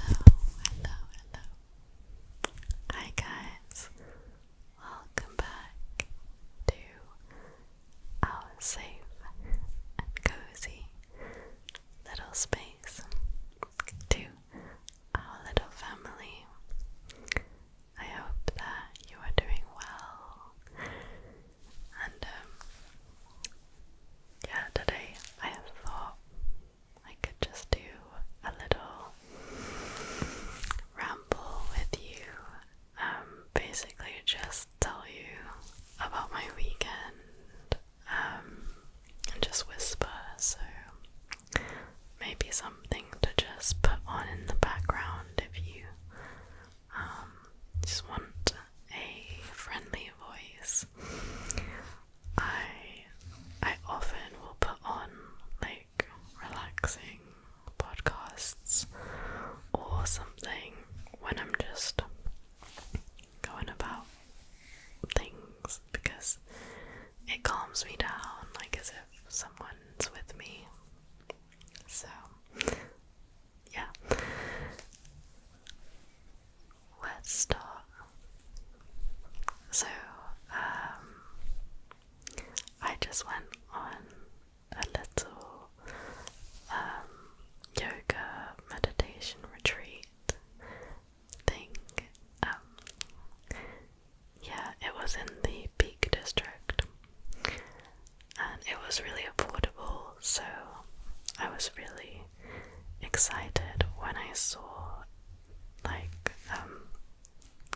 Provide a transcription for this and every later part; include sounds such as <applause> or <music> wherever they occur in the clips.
hello, Hi guys. Welcome back to our safe and cozy little space to our little family. I hope that you are doing well and um, yeah, today I thought I could just do a little ramble with you. Um, basically, just tell you about my weekend um, and just whisper. So maybe something to just put on in the background if you just want a friendly voice. I I often will put on like relaxing podcasts or something when I'm just going about things because it calms me down like as if someone's with me. So yeah. Where to start? So, um, I just went on a little um, yoga meditation retreat thing. Um, yeah, it was in the Peak District and it was really affordable, so I was really excited when I saw like um,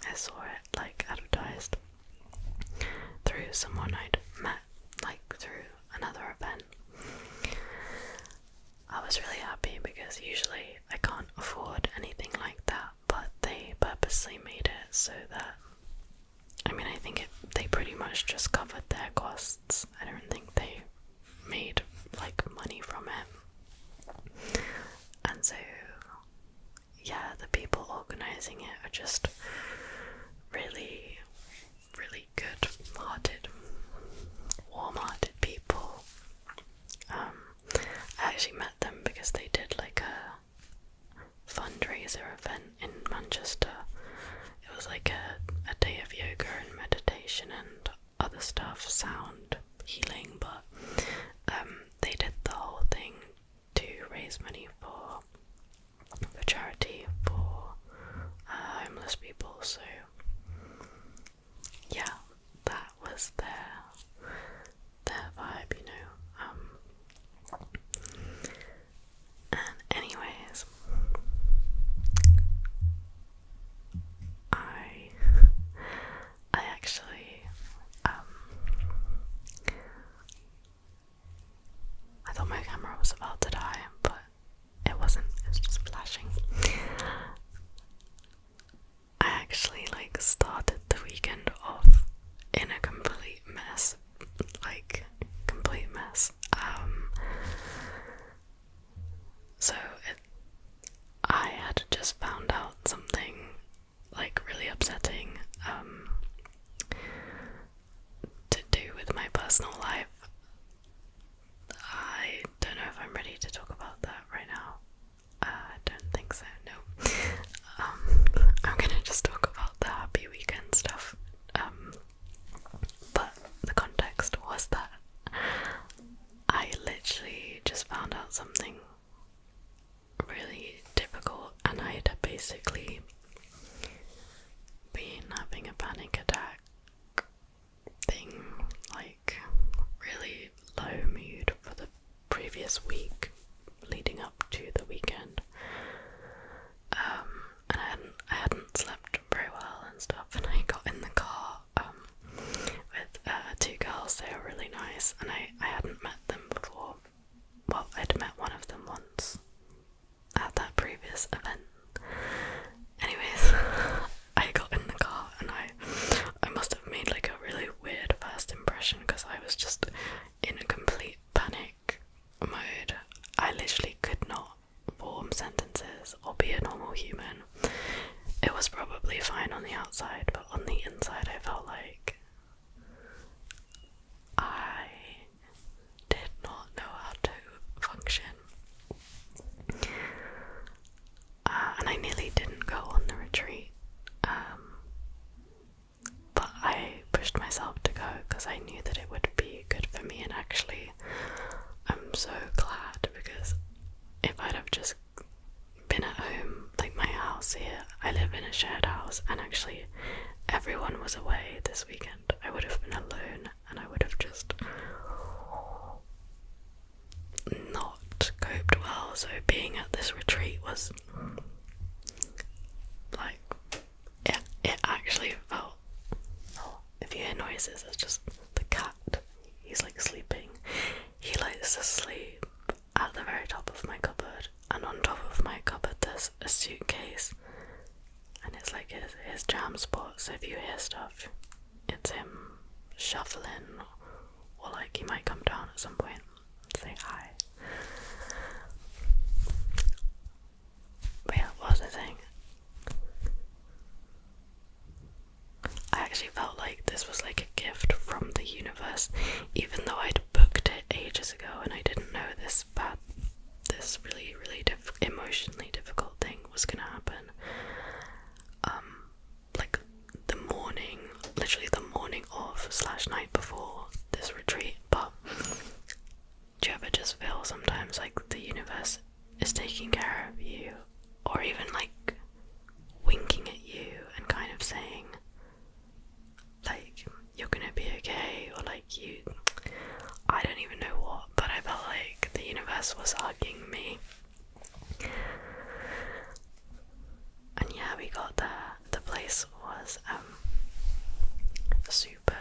I saw it like advertised through someone I'd met like through another event. I was really happy because usually I can't afford anything like that, but they purposely made it so that I mean, I think it, they pretty much just covered their costs. I don't think they made like money from it. And so, yeah, the people organizing it are just really, really good hearted, warm hearted people. Um, I actually met them because they did like a fundraiser event in Manchester. It was like a, a day of yoga and meditation and other stuff, sound healing, but um, they did the whole thing to raise money for for charity for uh, homeless people. So yeah, that was their their vibe, you know. Um, and, anyways, I I actually um, I thought my camera was about to die, but it wasn't. It just flashing. I actually like started the weekend off in a complete mess, like complete mess. Um, so it, I had just found out something like really upsetting um, to do with my personal life. I don't know if I'm ready to talk about that right now. Uh, I don't think so, no. Um, I'm gonna just talk about the happy weekend stuff um, but the context was that I literally just found out something really difficult, and I had basically been having a panic attack thing, like really low mood for the previous week leading up to the weekend. Um, and I hadn't slept very well and stuff. And I got in the car um, with uh, two girls. They were really nice, and I I hadn't met them before. Well, I'd met one of them once at that previous event. Anyways, <laughs> I got in the car and I I must have made like a really weird first impression because I was just in a complete panic mode. I literally could not form sentences or be a normal human. It was probably fine on the outside, but on the inside, I felt like I did not know how to function. Uh, and I nearly didn't go on the retreat, um, but I pushed myself to go because I knew that it would be good for me and actually I'm so glad because if I'd have just been at home, like my house here, I live in a shared house, and actually everyone was away this weekend, I would have been alone and I would have just not coped well. So being at this retreat was like it, it actually felt out. If you hear noises, it's just the cat. He's like sleeping. He likes to sleep at the very top of my cupboard, and on top of my cupboard, there's a suitcase, and it's like his, his jam spot. So if you hear stuff, it's him shuffling, or, like he might come down at some point point say hi. But yeah, what was I saying? I actually felt like this was like a gift from the universe, even though I'd booked it ages ago and I didn't know this but this really, really emotionally difficult thing was gonna happen. Um, like the morning, literally the morning of slash night before this retreat. But do you ever just feel sometimes like the universe is taking care of you, or even like winking at you and kind of saying, like, you're gonna be okay, or like, you, I don't even know what, but I felt like the universe was hugging me. And yeah, we got there. The place was um, super,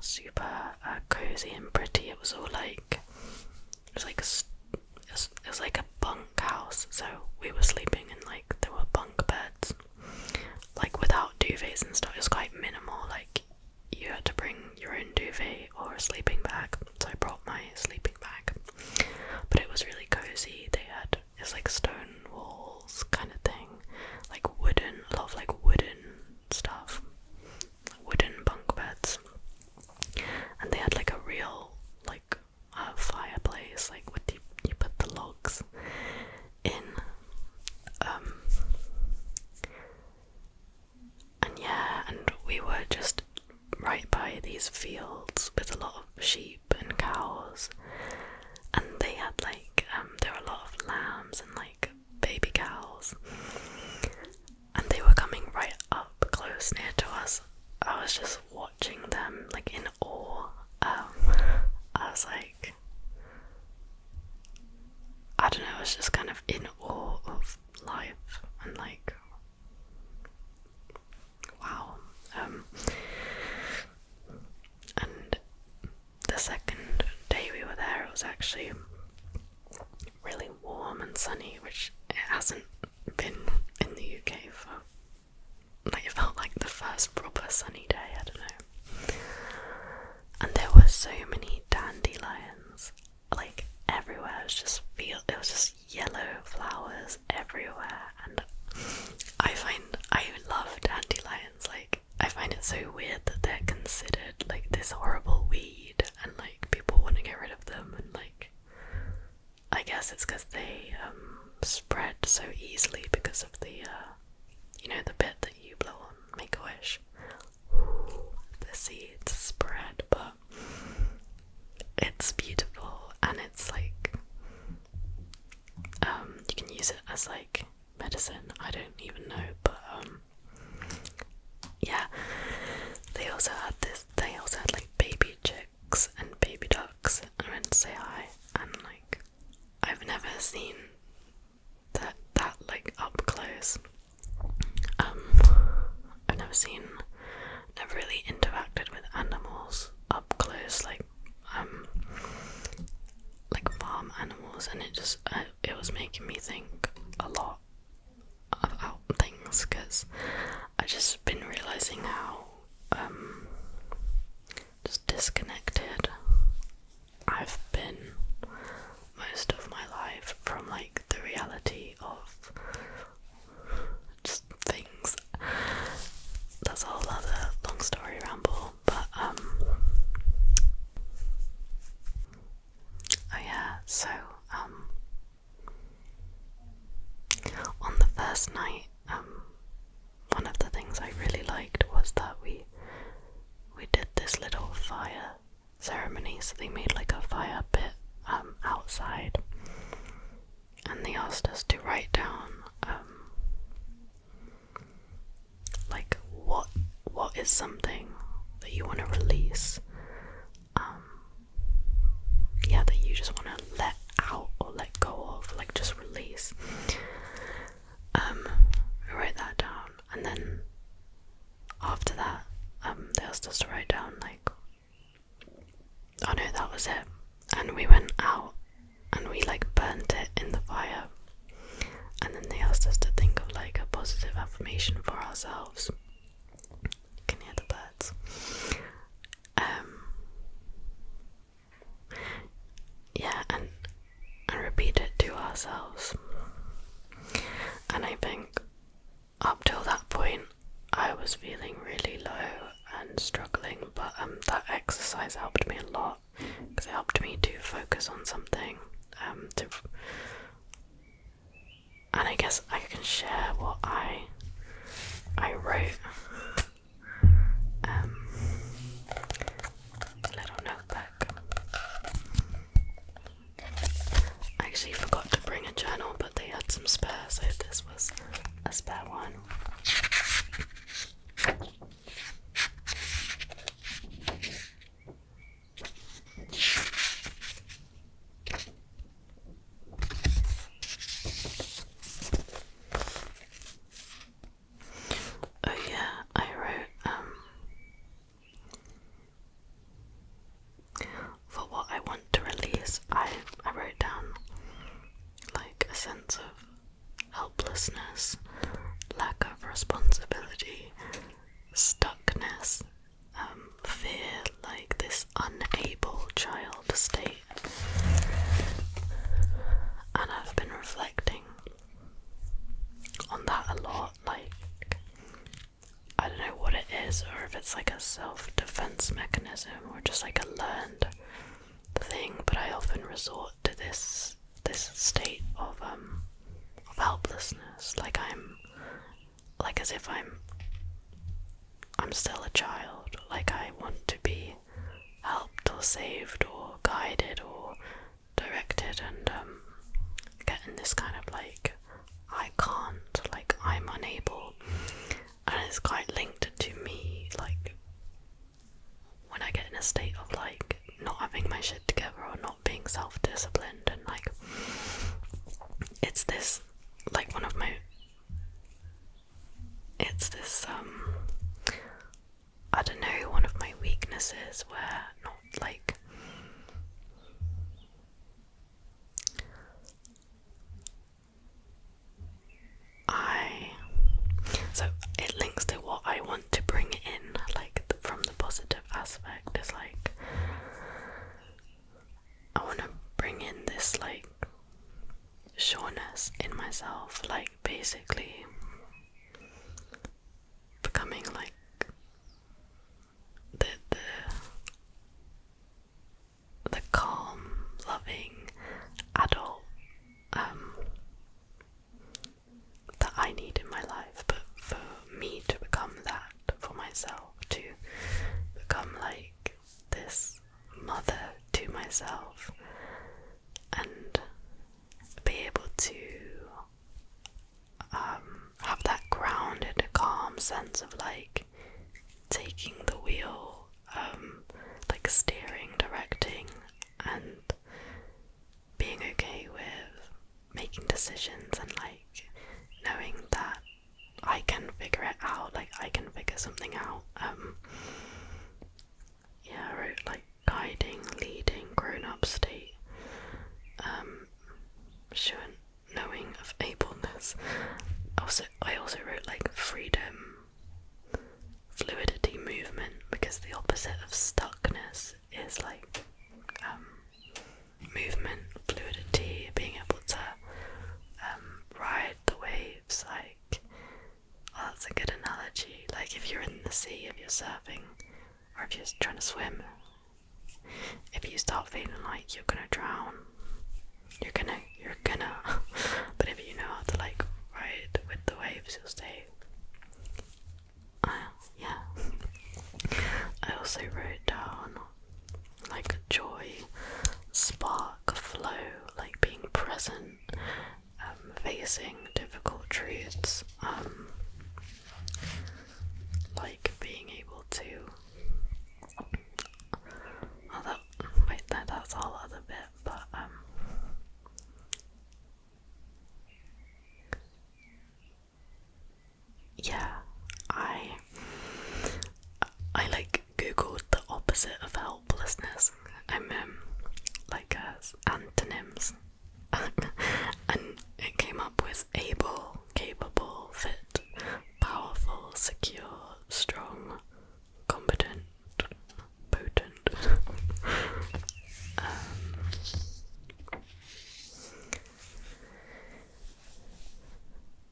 super uh, cozy and pretty. It was all like it was like a, it was like a bunk house. So we were sleeping in like there were bunk beds, like without duvets and stuff. It was quite minimal. Like you had to bring your own duvet or a sleeping bag. So I brought my sleeping bag, but it was really cozy. They had it's like stone walls kind of thing, like wooden, a lot like wooden stuff wooden bunk beds, and they had like a real like uh, fireplace, like what you you put the logs in, um, and yeah, and we were just right by these fields with a lot of sheep and cows, and they had like um there were a lot of lambs and like baby cows. And they were coming right up close near to us. I was just watching them like in awe. Um, I was like, I don't know, I was just kind of in awe of life and like, wow. Um, and the second day we were there, it was actually really warm and sunny, which it hasn't been in the UK for. Like it felt like the first proper sunny day, I don't know. And there were so many dandelions, like everywhere. It was just feel it was just yellow flowers everywhere, and I find I love dandelions. Like I find it so weird that they're considered like this horrible weed, and like people want to get rid of them and like I guess it's because they um, spread so easily because of the uh, you know the bit that you blow on make a wish the seeds spread but it's beautiful and it's like um, you can use it as like medicine I don't even know but um yeah, they also had this. They also had like baby chicks and baby ducks. I went to say hi, and like I've never seen that that like up close. Um, I've never seen, never really interacted with animals up close, like um, like farm animals, and it just it was making me think a lot about things because I've just been realizing how um, just disconnected I've been most of my life from like the reality of just things. That's a whole other long story ramble, but um, Oh yeah, so um, on the first night, um, one of the things I really liked was that we we did this little fire ceremony, so they made like a fire pit um, outside and they asked us to write down like what what is something that you want to release? Um, yeah, that you just want to let out or let go of, like just release. Um, write that down, and then after that, um, they asked us to write down like, I oh, no, that was it, and we went out and we like burnt it in the fire, and then they asked us to think of like a positive affirmation for ourselves can hear the birds. Um, yeah, and and repeat it to ourselves. And I think up till that point, I was feeling really low and struggling, but um, that exercise helped me a lot because it helped me to focus on something, um, to and I guess I can share what I I wrote. Um, little notebook. I actually forgot to bring a journal, but they had some spares, so this was a spare one. Oh yeah, I wrote um for what I want to release I I wrote down like a sense of helplessness, lack of responsibility, stuckness, um, fear, like this unable child state. And I've been reflecting on that a lot. Like, I don't know what it is, or if it's like a self defense mechanism or just like a learned thing, but I often resort to this this state of um of helplessness like i'm like as if I'm I'm still a child, like I want to be helped or saved or guided or directed and um getting this kind of like I can't, like I'm unable and it's quite linked to me like when I get in a state of like not having my shit together or not being self disciplined and like it's this like one of my it's this um I don't know one of my weaknesses where not like I so it links to what I want to bring in like from the positive aspect is like I want to bring in this like sureness in myself, like basically becoming like the the the calm, loving adult um, that I need in my life, but for me to become that for myself to become like this mother to myself and be able to um, have that grounded, calm sense of like taking the wheel, um, like steering, directing, and being okay with making decisions and like knowing that I can figure it out, like I can figure something out. Um yeah, I wrote like guiding, leading, grown up state, um sure knowing of ableness. Also I also wrote like freedom, fluidity, movement, because the opposite of stuckness is like um movement, fluidity, being able to um, ride the waves. Like, oh, that's a good analogy. Like, if you're in the sea, if you're surfing, or if you're trying to swim, if you start feeling like you're gonna drown, you're gonna, you're gonna. <laughs> but if you know how to like ride with the waves, you'll stay. Uh, yeah. I also wrote down like joy, spark, flow, like being present, um, facing difficult truths, um, like being able to. Oh, wait, no, that's all other bit, but um, yeah, I I like googled the opposite of helplessness. I'm um, like as uh, antonyms, <laughs> and it came up with able, capable, fit, powerful, secure, strong, competent, potent. <laughs> Um,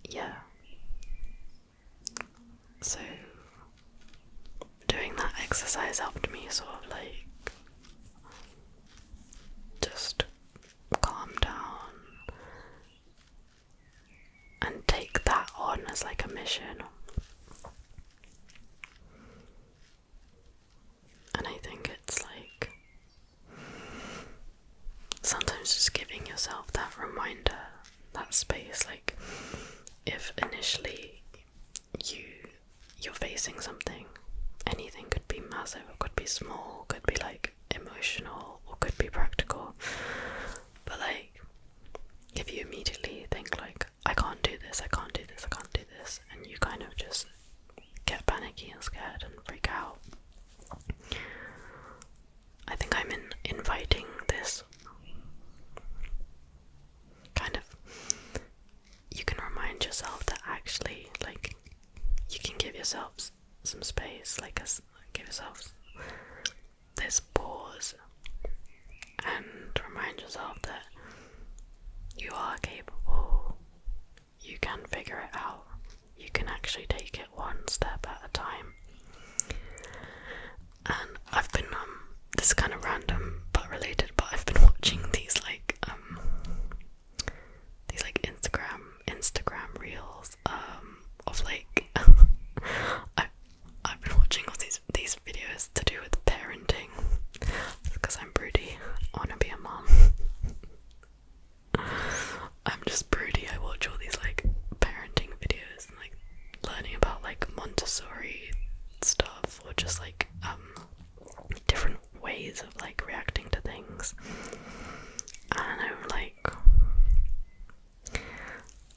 yeah. So doing that exercise helped me sort of like just calm down and take that on as like a mission. And I think it's like sometimes just giving yourself that reminder, that space, like if initially you you're facing something, anything could be massive, it could be small, could be like emotional, or could be practical. But like if you immediately think like I can't do this, I can't do this, I can't do this and you kind of just get panicky and scared and freak out. I think I'm in inviting this kind of you can remind yourself that actually like you can give yourselves some space like a, give yourselves this pause and remind yourself that you are capable you can figure it out. You can actually take it one step at a time. And I've been um this is kind of random but related, but I've been watching these like um these like Instagram Instagram reels um of like <laughs> I I've been watching all these these videos to do with parenting because I'm broody. I want to be a mom. <laughs> I'm just broody. I watch all these like parenting videos and like learning about like Montessori stuff or just like um different ways of like reacting to things. And I'm like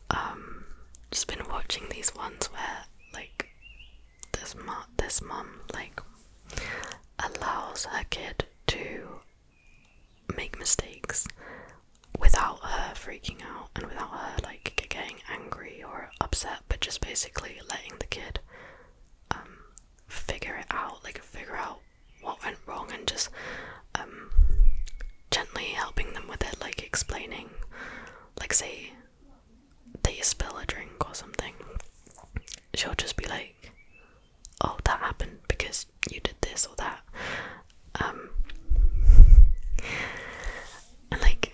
um just been watching these ones where like this mom, this mom, like allows her kid to make mistakes without her freaking out and without her like getting angry or upset, but just basically letting the kid um, figure it out, like figure out what went wrong and just um, gently helping them with it, like explaining, like say they spill a drink or something. She'll just be like, oh, that happened because you did this or that. Um, like,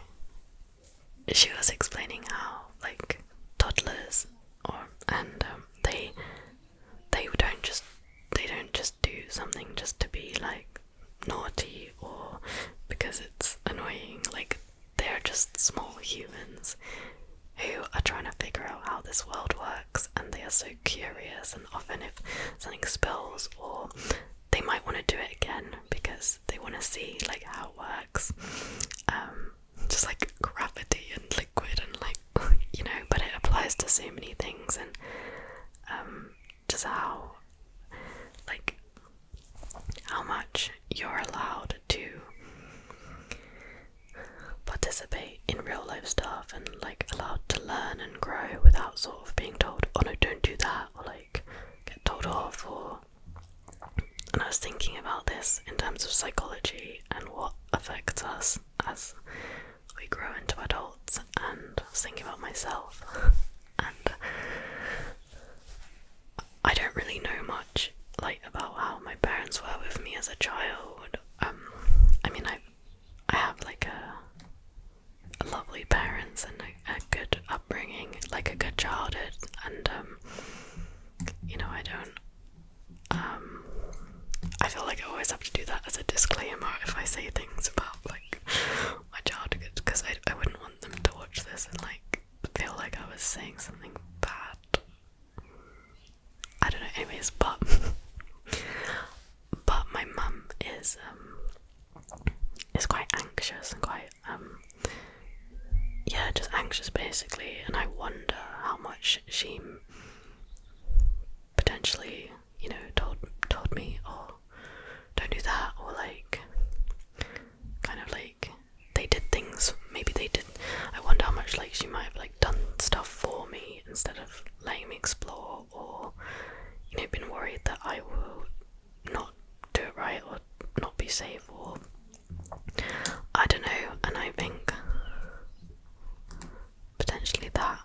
she was explaining how like toddlers or and um, they they don't just they don't just do something just to be like naughty or because it's annoying like they're just small humans who are trying to figure out how this world works and they are so curious and often if something spills or they might want to do it again because they want to see like how it works um, just like gravity and liquid and like <laughs> you know but it applies to so many things and um, just how like how much you're allowed to participate in real life stuff and like allowed to learn and grow without sort of being told, oh no, don't do that, or like get told off. For and I was thinking about this in terms of psychology and what affects us as we grow into adults, and I was thinking about myself, <laughs> and I don't really know much like about how my parents were with me as a child um, I mean, I, I have like a, lovely parents and a, good upbringing, like a good childhood, and um, you know, I don't. Um, I feel like I always have to do that as a disclaimer if I say things about like my childhood, because I I wouldn't want them to watch this and like feel like I was saying something bad I don't know, anyways, but <laughs> but my mum is um, is quite anxious and quite um, yeah, just anxious basically, and I wonder how much she potentially, you know, told told me or don't do that or like kind of like they did things maybe they did I wonder how much like she might have like done stuff for me instead of letting me explore or you know been worried that I will not do it right or not be safe or I don't know and I think potentially that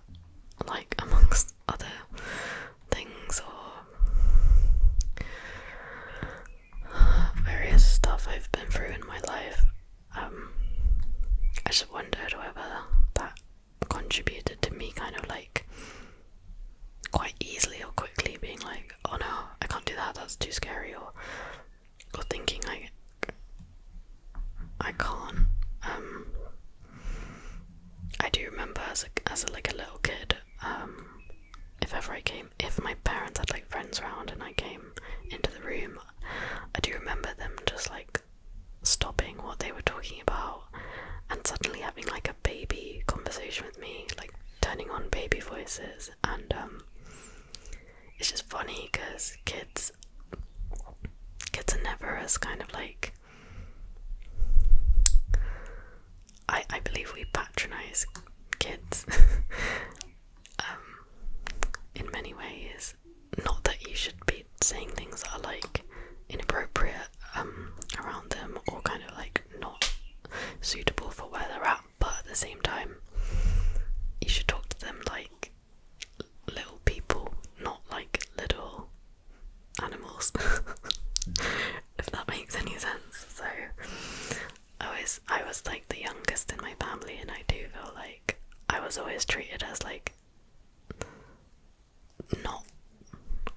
like amongst other things or various stuff I've been through in my life um, I just wondered whether that contributed to me kind of like quite easily or quickly being like, oh no, I can't do that, that's too scary, or, or thinking like, I can't. Um, I do remember as a, as like a little kid, um, if ever I came, if my parents had like friends around and I came into the room, I do remember them just like stopping what they were talking about and suddenly having like a baby conversation with me, like turning on baby voices. And um, it's just funny because kids, kids are never as kind of like. I, I believe we patronize kids <laughs> um, in many ways, not that you should be saying things that are like inappropriate um, around them or kind of like not suitable for where they're at but at the same time you should talk to them like little people not like little animals <laughs> if that makes any sense so I was I was like the youngest in my family and I do feel like I was always treated as like not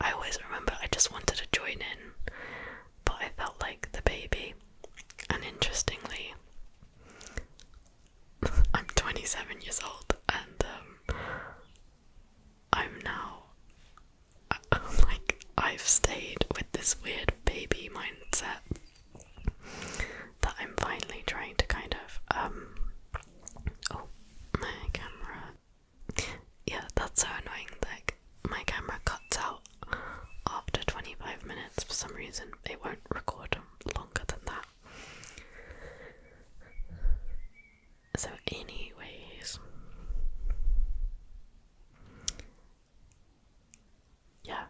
I always remember I just wanted to join in, but I felt like the baby. And interestingly, <laughs> I'm 27 years old, and um, I'm now <laughs> like I've stayed with this weird baby mindset that I'm finally trying to kind of um, oh my camera yeah that's so annoying like my camera cuts out after 25 minutes for some reason it won't record longer than that so anyways yeah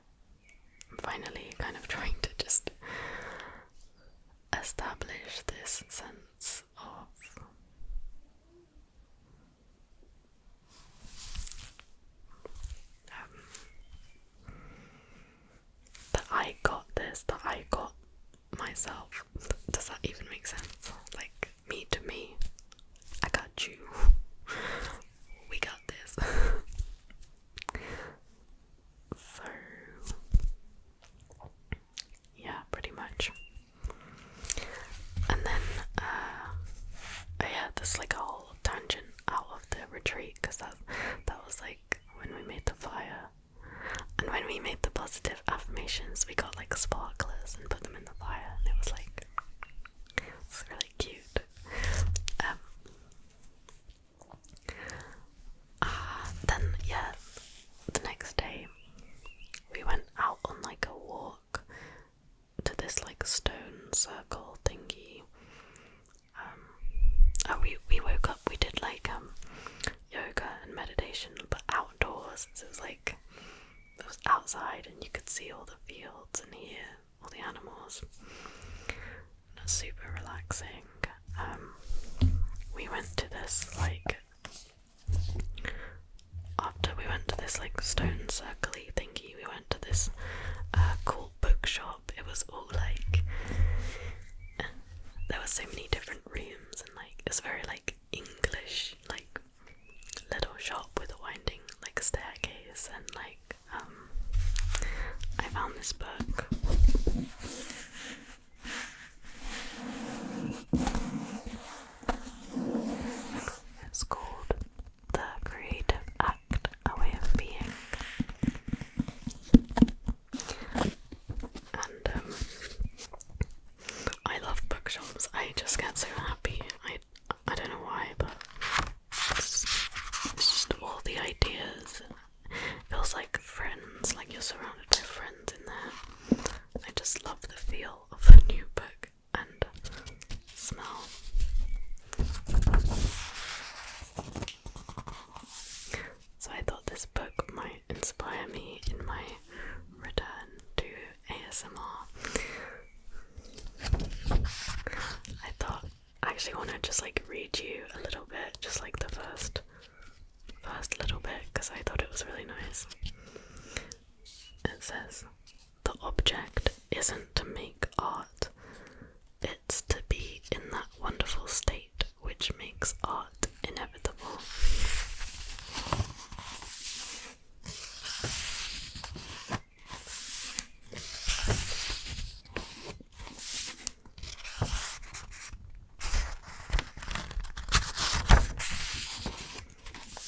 I'm finally kind of <laughs> trying to just establish this sense of um, that I got this, that I got myself. Does that even make sense? Like, me to me, I got you. <laughs> We got this. <laughs> So, yeah, pretty much. And then, uh, yeah, there's like a whole tangent out of the retreat because that, that was like when we made the fire. And when we made the positive affirmations, we got like sparklers and put them in the fire, and it was like, it's really cute. Um, uh, then, yeah, the next day we went out on like a walk to this like stone circle thingy. Um, oh, we, we woke up, we did like um yoga and meditation, but outdoors. it was like it was outside, and you could see all the fields and hear all the animals and super relaxing. Um, we went to this like after we went to this like stone circley thingy, we went to this uh, cool bookshop. It was all like there were so many different rooms and like it's very like English like little shop with a winding like staircase and like um, I found this book. It's called The Creative Act A Way of Being. And um, I love bookshops. I just get so happy. I, I don't know why, but it's just all the ideas Feels like friends, like you're surrounded by friends in there. I just love the feel of a new book and smell. So I thought this book might inspire me in my return to ASMR. I thought I actually want to just like read you a little bit, just like the first first little bit, because I thought it was really nice. It says, The object isn't to make art, it's to be in that wonderful state which makes art inevitable.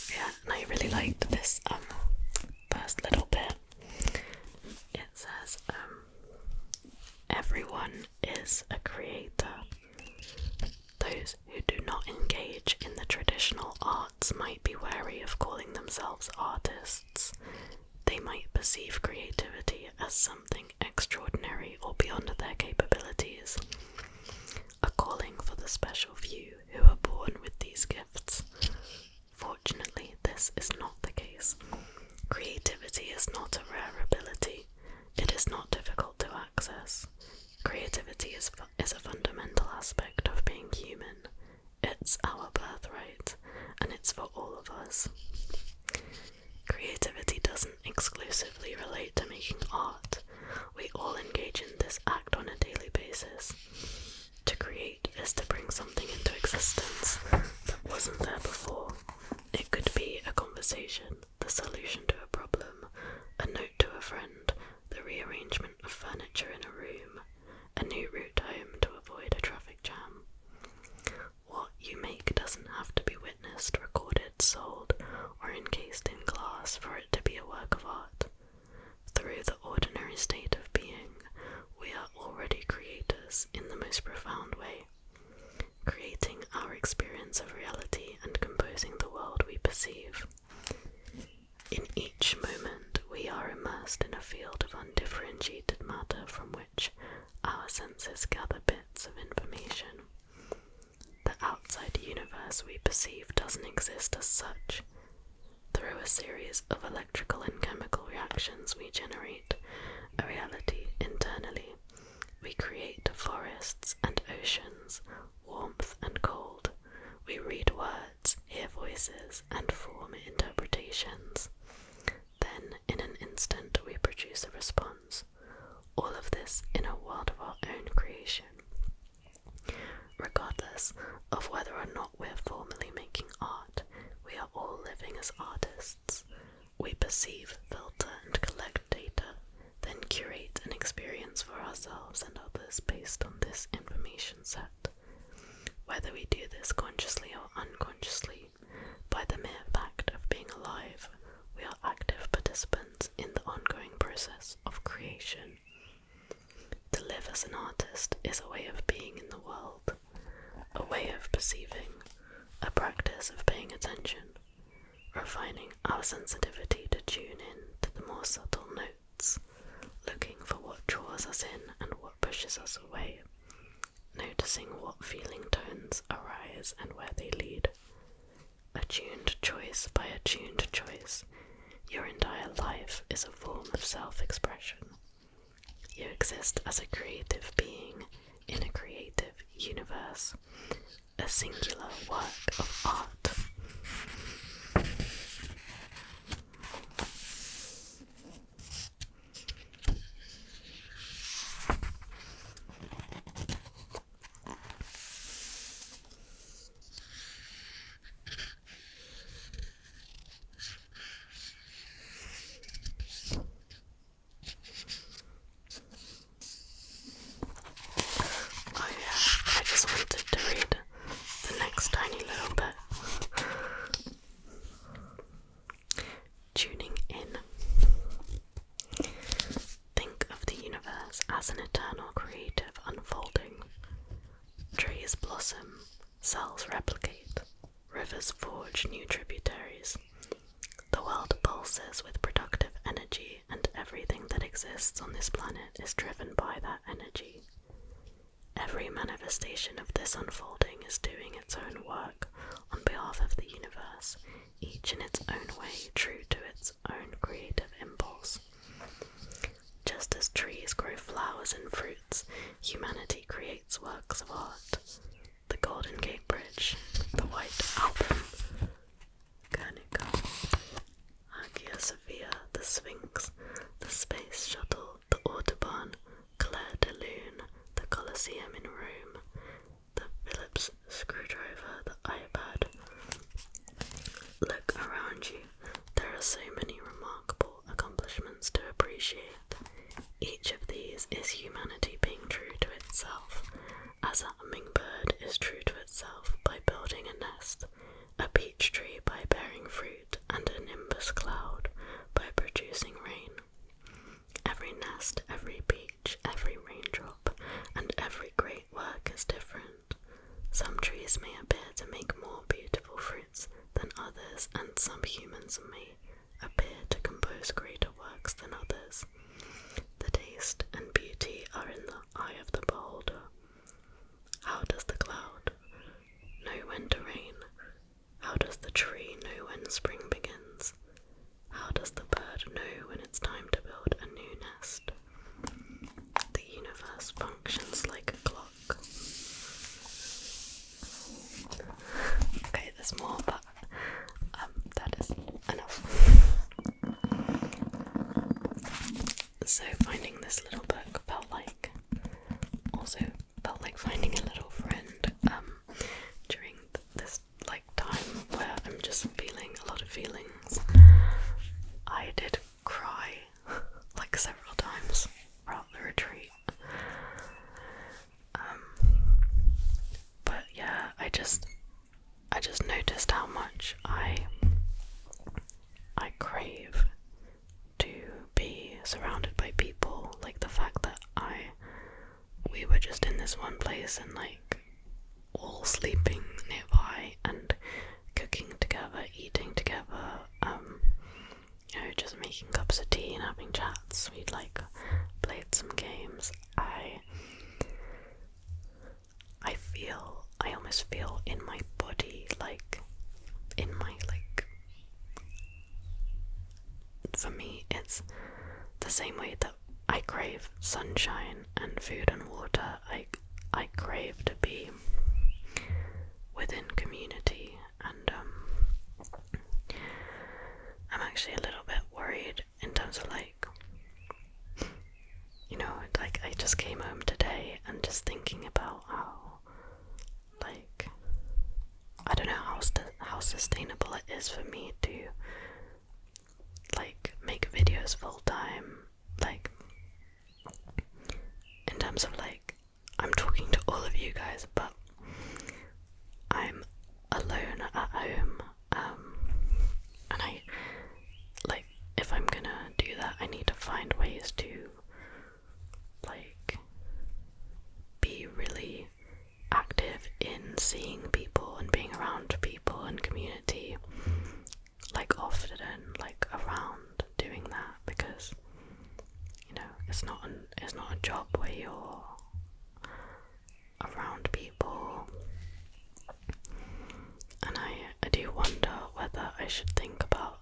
Yeah, I really liked this um, first little bit. It says, um, everyone is a creator. Those who do not engage in the traditional arts might be wary of calling themselves artists, they might perceive creativity as something extraordinary or beyond their capabilities, a calling for the special few who are born with these gifts. Fortunately, this is not the case. Creativity is not a rare ability, it is not difficult to access. Creativity is, is a fundamental aspect of being human. It's our birthright, and it's for all of us. Creativity doesn't exclusively relate to making art. We all engage in this act on a daily basis. To create is to bring something into existence that wasn't there before. It could be a conversation, the solution to a problem, a note to a friend, the rearrangement of furniture in a room, a new route home to avoid a traffic jam. What you make doesn't have to be witnessed, recorded, sold, or encased in glass for it to be a work of art. Through the ordinary state of being, we are already creators in the most profound way, creating our experience of reality and composing the world we perceive. In each moment, we are immersed in a field of undifferentiated matter from which our senses gather bits of information. The outside universe we perceive doesn't exist as such. Through a series of electrical and chemical reactions, we generate a reality internally. We create forests and oceans, warmth and cold. We read words, hear voices, and form interpretations. Then, in an instant, we produce a response. All of this in a world of our own creation. Regardless of whether or not we're formally making art, we are all living as artists. We perceive, filter, and collect data, then curate an experience for ourselves and others based on this information set. Whether we do this consciously or unconsciously by the mere fact of being alive, we are active participants in the ongoing process of creation. To live as an artist is a way of being in the world, a way of perceiving, a practice of paying attention, refining our sensitivity to tune in to the more subtle notes, looking for what draws us in and what pushes us away, noticing what feeling tones arise and where they lead. Attuned choice by attuned choice, your entire life is a form of self expression. You exist as a creative being in a creative universe, a singular work of art. Oh, yeah, I just wanted to read the next tiny little bit tuning in. Think of the universe as an eternal creative unfolding. Trees blossom, cells replicate, rivers forge new tributaries. The world pulses with productive energy, and everything that exists on this planet is driven by that energy. Every manifestation of this unfolding is doing its own work on behalf of the universe, each in its own way, true to its own creative impulse. Just as trees grow flowers and fruits, humanity creates works of art. The Golden Gate Bridge, the White Album, Guernica, Hagia Sophia, the Sphinx, the Space Shuttle, the Autobahn, Claire de Lune, the Colosseum in Rome, the Phillips screwdriver, the iPad. Look around you. There are so many remarkable accomplishments to appreciate. Each of these is humanity being true to itself, as a hummingbird is true to itself by building a nest, a peach tree by bearing fruit, and a nimbus cloud by producing rain. Every nest, every peach each, every raindrop, and every great work is different. Some trees may appear to make more beautiful fruits than others, and some humans may appear to compose greater works than others. The taste and beauty are in the eye of the beholder. How does the cloud know when to rain? How does the tree know when spring begins? How does the bird know when it's time to build a new nest? The universe functions like a clock. Okay, there's more, but um, that is enough. So finding this little book felt like also felt like finding a little friend um, during this like time where I'm just feeling a lot of feelings. I did cry <laughs> like several times throughout the retreat. Um but yeah, I just I just noticed how much I I crave to be surrounded by people, like the fact that I we were just in this one place and like all sleeping nearby and cooking together, eating together, um, you know, just making cups of tea and having chats. We'd like played some games. I I feel I almost feel in my body like in my like for me it's the same way that I crave sunshine and food and water. I, I crave to be within community, and um, I'm actually a little bit worried in terms of like, you know, like I just came home today and just thinking about how, like, I don't know how, how sustainable it is for me to like make videos full time like in terms of like I'm talking to all of you guys but I'm alone at home um and I like if I'm gonna do that I need to find ways to like be really active in seeing people and being around people and community like often like around doing that because you know it's not an, it's not a job where you're around people and I, I do wonder whether I should think about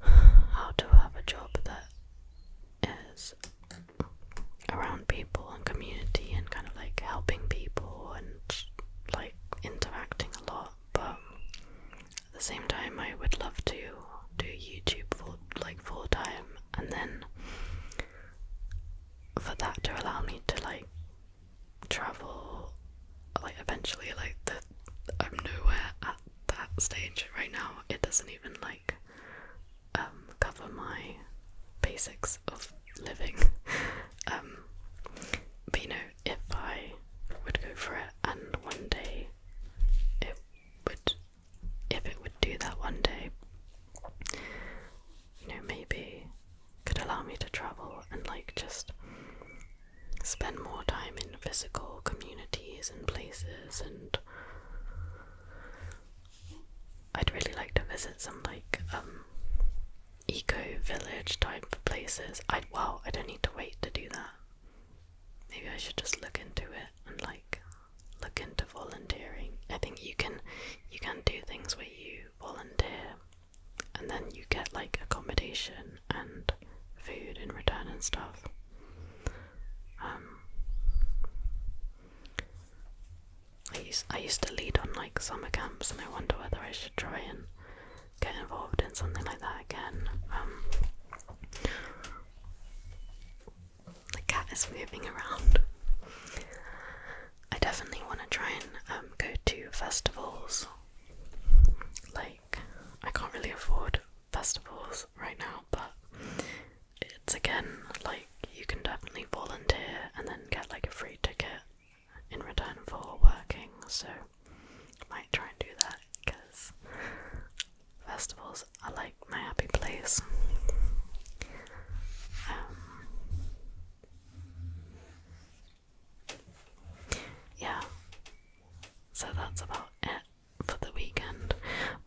how to have a job that is around people and community and kind of like helping people and like interacting a lot. But at the same time, I would love to do YouTube full like full time, and then for that to allow me to like travel, like eventually, like the I'm nowhere at that stage right now. It doesn't even like um, cover my basics of living. <laughs> Um, but you know, if I would go for it, and one day it would, if it would do that one day, you know, maybe could allow me to travel and like just spend more time in physical communities and places and I'd really like to visit some like um, eco village type places. I wow, I don't need to wait to do that. Maybe I should just look into it and like look into volunteering. I think you can you can do things where you volunteer and then you get like accommodation and food in return and stuff. Um, I used, I used to lead on like summer camps, and I wonder whether I should try and get involved in something like that again. Um, the cat is moving around. I definitely want to try and um, go to festivals. Like, I can't really afford festivals right now, but it's again like you can definitely volunteer and then get like a free ticket in return for working, so might try and do that because festivals are like my happy place. Um, yeah, so that's about it for the weekend.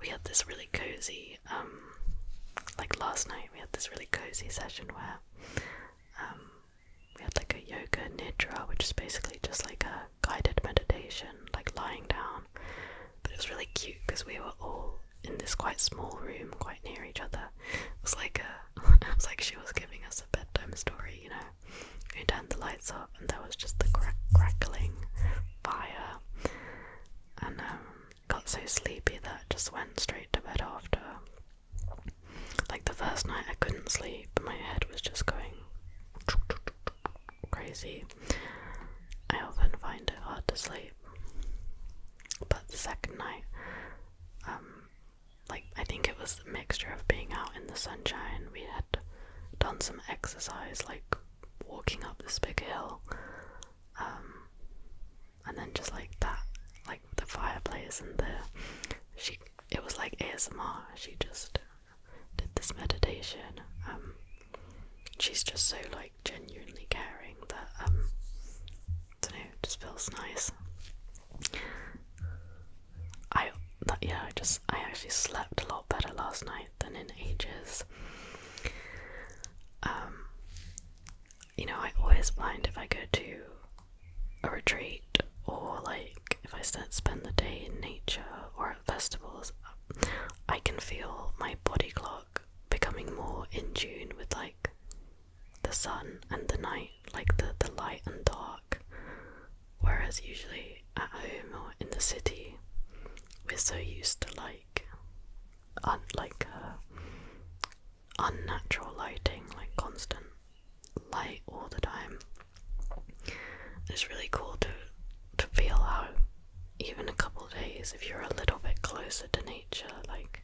We had this really cozy um, like last night, we had this really cozy session where um, we had like a yoga nidra, which is basically just like a guided meditation, like lying down. But it was really cute because we were all in this quite small room, quite near each other. It was like a, <laughs> it was like she was giving us a bedtime story, you know. We turned the lights off, and there was just the crack crackling fire, and um, got so sleepy that just went straight to bed after. Like the first night, I couldn't sleep, my head was just going crazy. I often find it hard to sleep. But the second night, um, like I think it was the mixture of being out in the sunshine, we had done some exercise, like walking up this big hill, um, and then just like that, like the fireplace and the she, it was like ASMR. She just did this meditation. Um, she's just so like genuinely caring that um, I don't know, it just feels nice. I that yeah, I just I actually slept a lot better last night than in ages. Um, you know, I always find if I go to a retreat or like if I spend the day in nature or at festivals, I can feel my body clock becoming more in tune with like the sun and the night, like the, the light and dark. Whereas usually at home or in the city, we're so used to like like uh, unnatural lighting, like constant light all the time. It's really cool to to feel how even a couple days, if you're a little bit closer to nature, like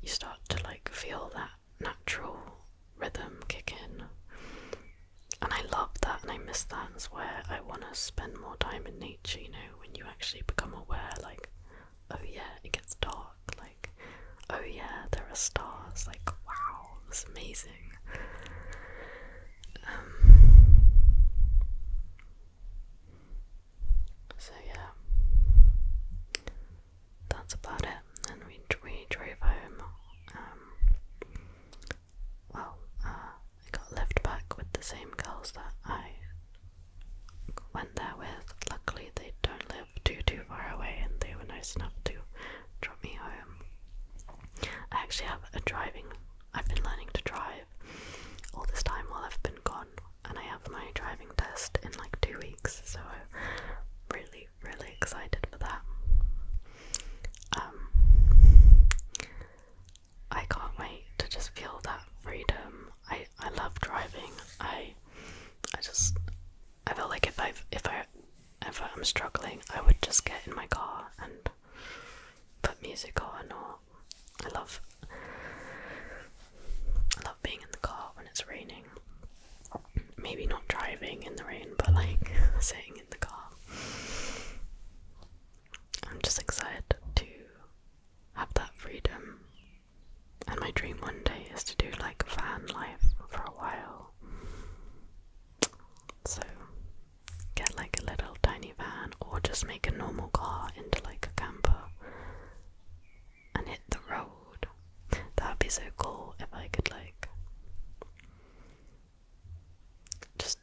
you start to like feel that natural rhythm kick in. And I love that and I miss that. That's where I want to spend more time in nature, you know, when you actually become aware like oh yeah it gets dark like oh yeah there are stars like wow that's amazing um, so yeah that's about it and we, we drove home um, well uh, I got left back with the same girls that I went there with. Luckily, they don't live too too far away, and they were nice enough to drop me home. I actually have a driving. I've been learning to drive all this time while I've been gone, and I have my driving test in like two weeks, so I'm really really excited for that. Um, I can't wait to just feel that freedom. I I love driving. I I just I feel like if I if I ever am struggling, I would just get in my car and put music on. Or I love I love being in the car when it's raining. Maybe not driving in the rain, but like <laughs> sitting in the car. I'm just excited to have that freedom. And my dream one day is to do like van life for a while. So, get like a little tiny van or just make a normal car into like a camper and hit the road. That'd be so cool if I could like just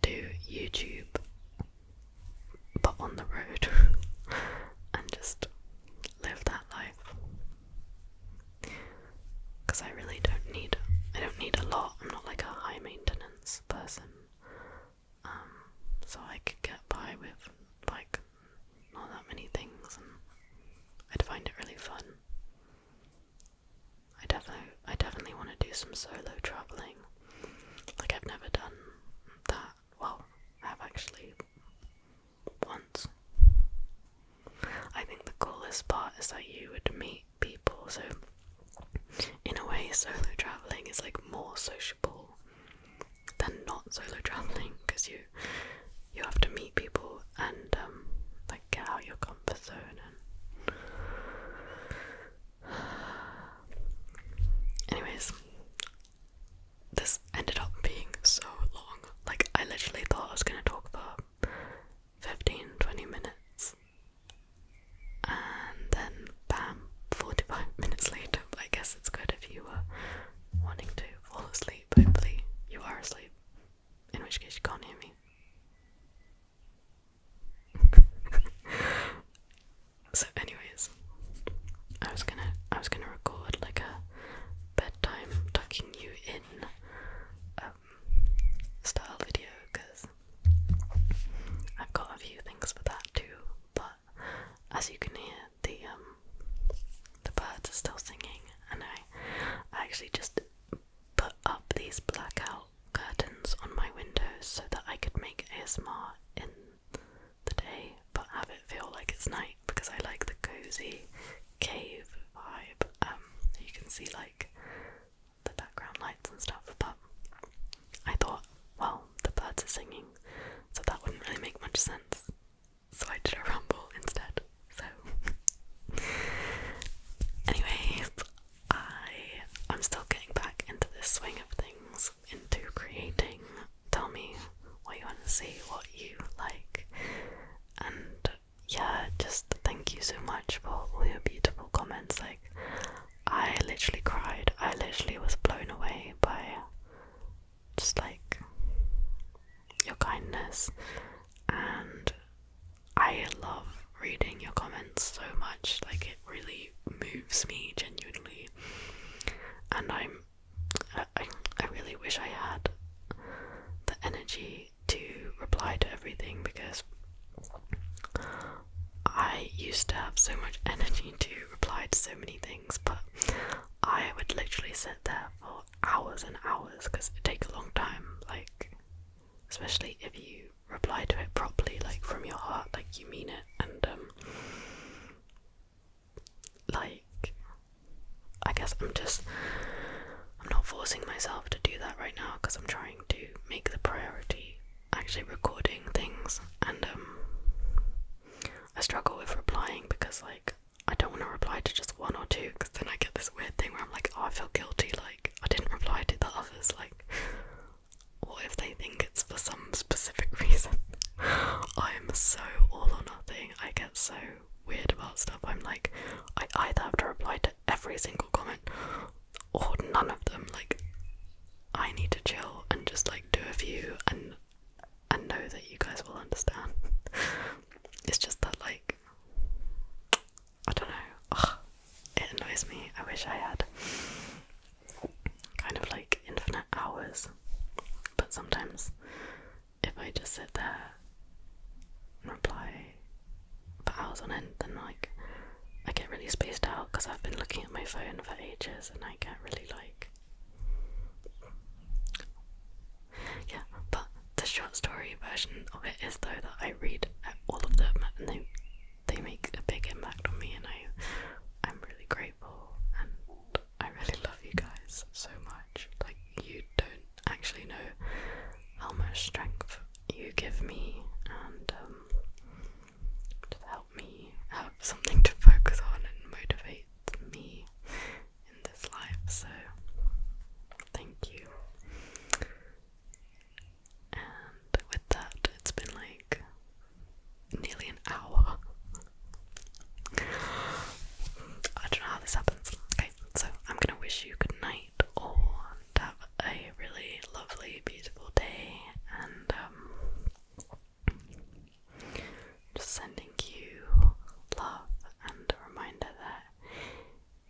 do YouTube but on the road <laughs> and just live that life because I really don't need I don't need a lot I'm not like a high maintenance person um, so I could get by with like not that many things I'd find it really fun I definitely I definitely want to do some solo traveling like I've never done that well, I have actually once. I think the coolest part is that you would meet people, so in a way, solo traveling is like more sociable than not solo traveling because you you have to meet people and um, like get out your comfort zone Anyways, this ended up being so long. Like, I literally thought I was gonna talk for 15 20 minutes, and then bam, 45 <laughs> minutes later. I guess it's good if you were wanting to fall asleep. Hopefully, you are asleep, in which case, you can't hear me. <laughs> So, anyways, I was gonna I was gonna record like a bedtime tucking you in um, style video because I've got a few things for that too. But as you can hear, the um, the birds are still singing, and I I actually just put up these blackout curtains on my windows so that I could make ASMR in the day, but have it feel like it's night because I like the cozy cave vibe. Um, you can see like the background lights and stuff, but I thought, well, the birds are singing, so that wouldn't really make much sense. So I did a rumble instead. So, <laughs> anyways, I I'm still getting back into the swing of things into creating. Tell me what you want to see, what you like, and yeah, just thank you so much for all your beautiful comments. Like, I literally cried, I literally was blown away by just like your kindness, and I love reading your comments so much. Like it really moves me genuinely, and I'm I really wish I had the energy to reply to everything because I used to have so much energy to reply to so many things, but I would literally sit there for hours and hours because it takes a long time. Like, especially if you reply to it properly, like from your heart, like you mean it, and um, like I guess I'm just I'm not forcing myself to do that right now because I'm trying to make the priority actually recording things and um I struggle with replying because like I don't want to reply to just one or two because then I get this weird thing where I'm like, oh, I feel guilty, like I didn't reply to the others, like what if they think it's for some specific <laughs> reason? I'm so all or nothing. I get so weird about stuff. I'm like, I either have to reply to every single comment or none of them. Like, I need to chill and just like do a few and and know that you guys will understand. <laughs> it's just that like I don't know. it annoys me. I wish I had kind of like infinite hours. But sometimes if I just sit there and reply for hours on end, then like I get really spaced out because I've been looking at my phone for ages and I get really like. Yeah, but the short story version of it is though that I read all of them and they they make a big impact on me and I I'm really great grateful and I really love you guys so much. Like, you don't actually know how much strength you give me and um, just help me have something to focus on and motivate me in this life. So, thank you. And with that, it's been like nearly an hour. I don't know how this happens. Okay, so I'm gonna wish you good night or have a really lovely, beautiful day, and um, just sending you love and a reminder that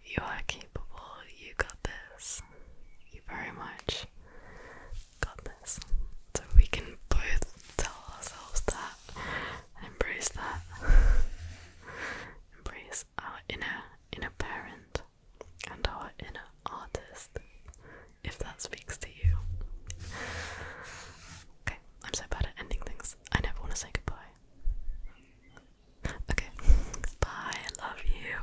you are capable, you got this, you very much got So we can both tell ourselves that and embrace that. embrace our inner inner parent and our inner artist. If that speaks to you. Okay, I'm so bad at ending things. I never want to say goodbye. Okay, bye, I love you.